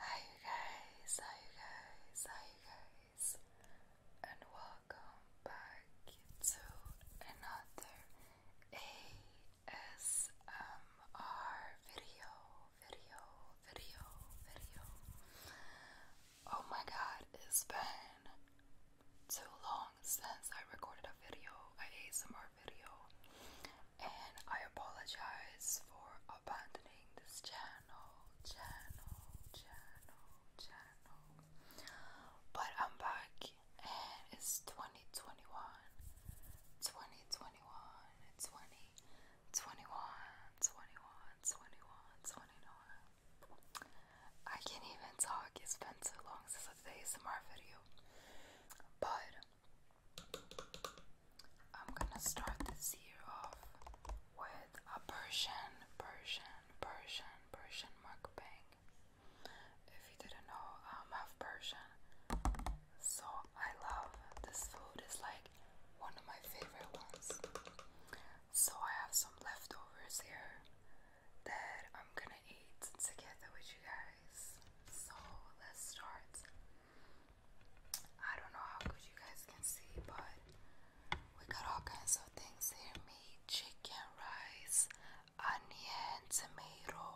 Hi guys, hi guys, hi guys, and welcome back to another ASMR video, video, video, video. Oh my god, it's been too long since I recorded a video, a ASMR video, and I apologize for abandoning this channel, channel, channel, channel. But I'm back, and it's 2021, 2021, 20, 21, 21, 21, 29. I can't even talk, it's been so long since I've done ASMR video. But I'm gonna start this year off with a Persian, Persian, Persian, Persian mukbang. If you didn't know, um, I'm half Persian. So I love this food, it's like one of my favorite ones. So I have some leftovers here that I'm gonna eat together with you guys. So let's start. I don't know how good you guys can see, but we got all kinds of things here meat, chicken, rice, onion, tomato.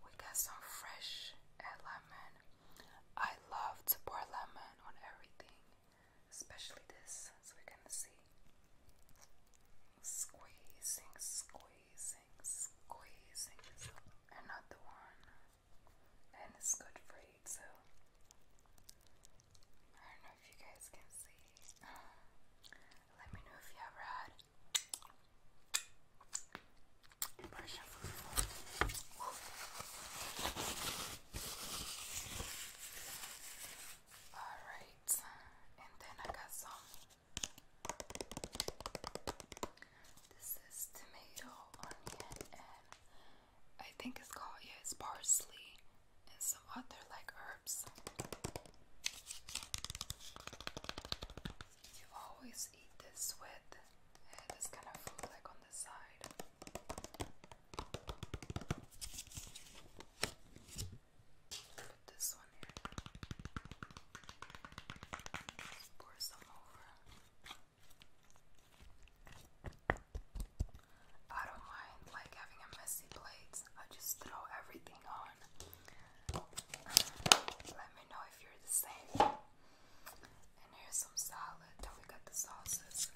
We got some fresh lemon. I love to pour lemon on everything, especially this, so we're gonna see squeezing, squeezing, squeezing is another one, and it's good for you too. I don't know if you guys can see. Let me know if you ever had Alright, and then I got some. This is tomato, I think it's called, yeah, it's parsley and some other like herbs. You always eat this with this kind of food, like on the side. Put this one in. pour some over. I don't mind like having a messy plate. I just throw everything on. Let me know if you're the same. And here's some salad. Then we got the sauces.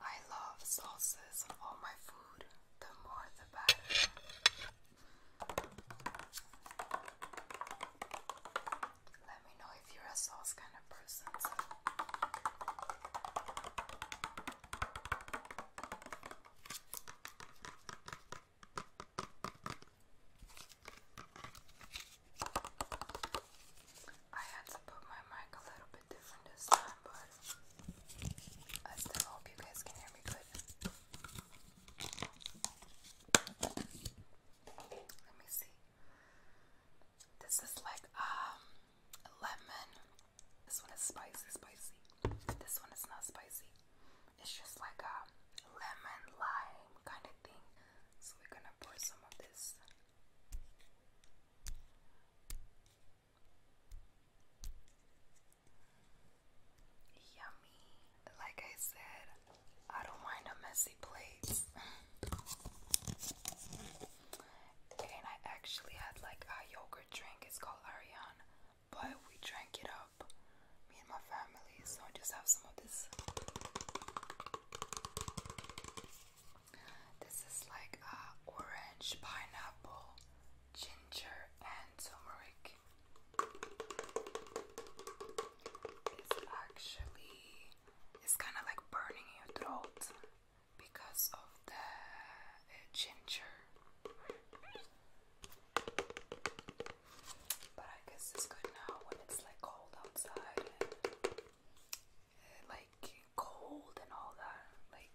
I love sauces on my food. The more the better. Let me know if you're a sauce kind of person. I had to put my mic a little bit different this time, but I still hope you guys can hear me good. Let me see. This is like um lemon. This one is spicy, spicy. This one is not spicy. It's just like a lemon lime kind of thing. So we're gonna pour some of this Yummy. Like I said, I don't mind a messy plate. and I actually had like a yogurt drink, it's called Ariane, but we drank it up, me and my family. So I just have some of this. This is like uh, orange, pineapple, ginger, and turmeric. It's actually it's kind of like burning your throat because of the uh, ginger. But I guess it's good now when it's like cold outside like cold and all that. Like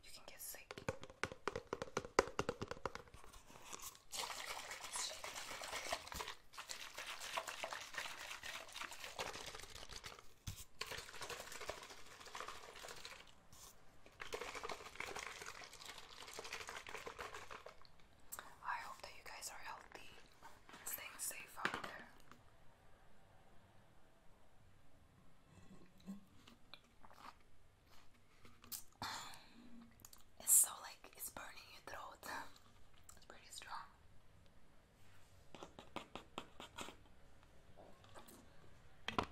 you can get sick. I hope that you guys are healthy, staying safe out there. It's so like it's burning your throat. It's pretty strong. Oh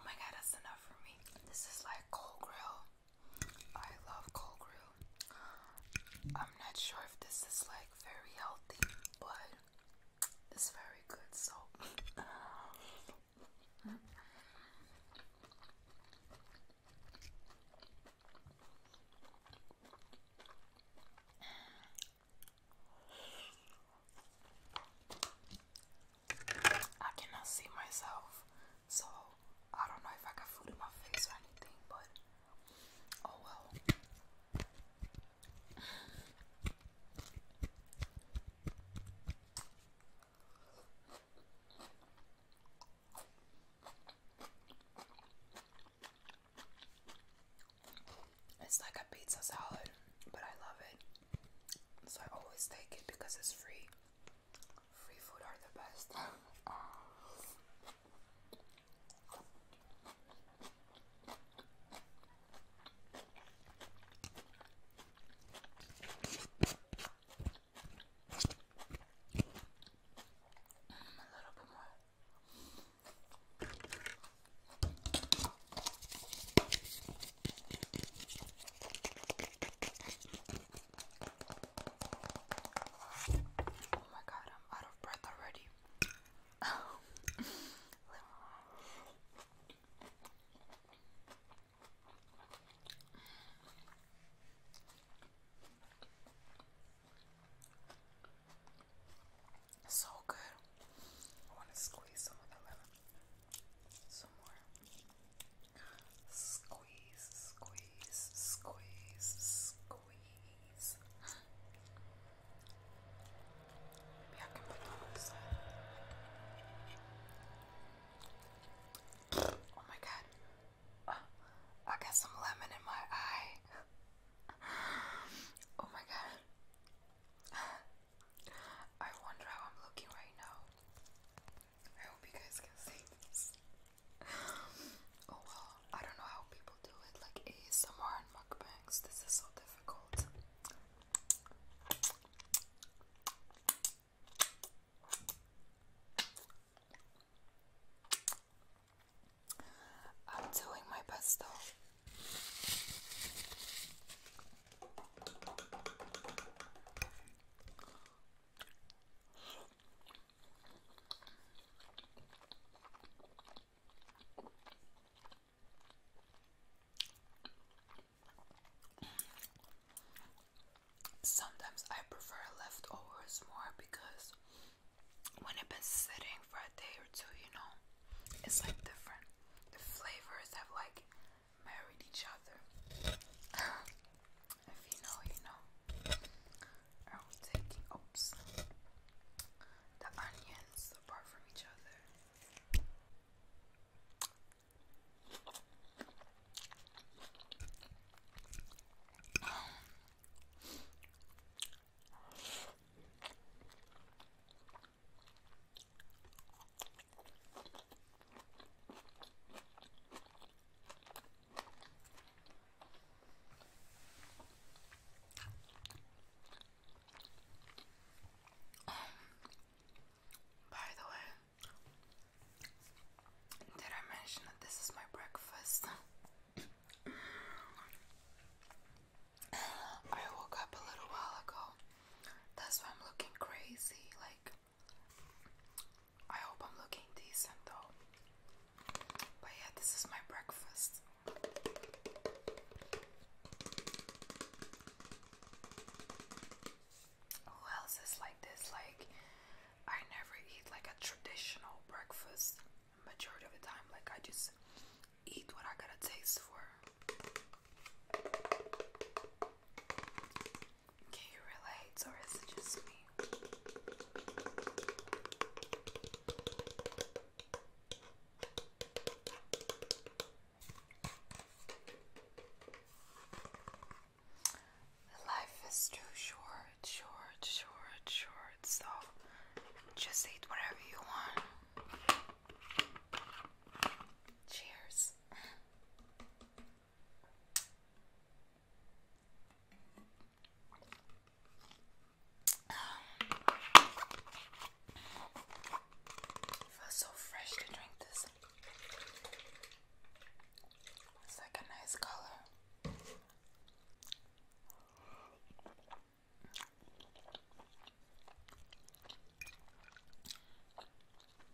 my god, that's enough for me. This is like cold grill. I love cold brew. I'm not sure if this is like very healthy, but it's very good. So. I cannot see myself, so I don't know if I got food in my face or anything, but oh well. It's like a pizza salad, but I love it. So I always take it because it's free. Free food are the best. Mm, a little bit more. Oh my god, I'm out of breath already. so good. I want to squeeze some of the lemon some more. Squeeze, squeeze, squeeze, squeeze. Maybe I can put that on the side. Oh my god. Uh, I got some lemon in my eye. oh my god. I wonder how I'm looking right now. I hope you guys can see this. oh well, I don't know how people do it, like ASMR mukbangs. This is so difficult. I'm doing my best though. Sometimes I prefer leftovers more because when I've been sitting for a day or two, you know, it's like different. The flavors have like married each other. if you know, you know. Are we taking oops the onions apart from each other? by the way, did I mention that this is my breakfast? I woke up a little while ago. That's why I'm looking crazy. Like, I hope I'm looking decent though. But yeah, this is my breakfast. Who else is like this? Like, I never eat like a traditional breakfast majority of the time. Like, I just eat what I got a taste for. Can you relate, or is it just me? Life is too short, short, short, short, so just eat whatever you want. Cheers. Feels so fresh to drink this. It's like a nice color.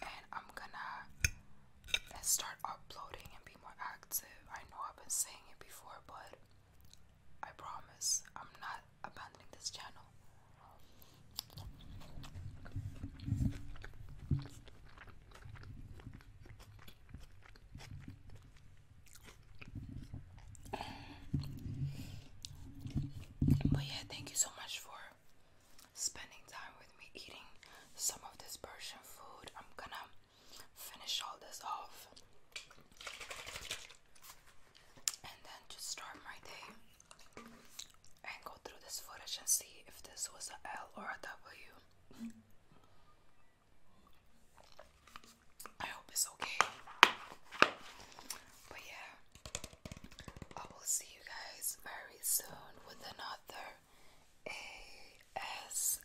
and I'm gonna start uploading and be more active. I know I've been saying it before, but I promise I'm not abandoning this channel. But yeah, thank you so much for spending time with me eating some of this Persian food. I'm gonna finish all this off and then just start my day and go through this footage and see if this was a L or a W. I hope it's okay. But yeah, I will see you guys very soon with another ASMR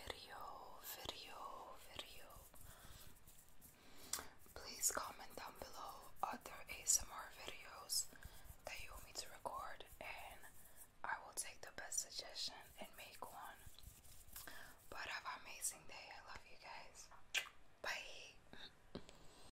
video, video, video. Please comment down below other ASMR videos that you want me to record, and I will take the best suggestion and make one. But have an amazing day. I love you guys. Bye.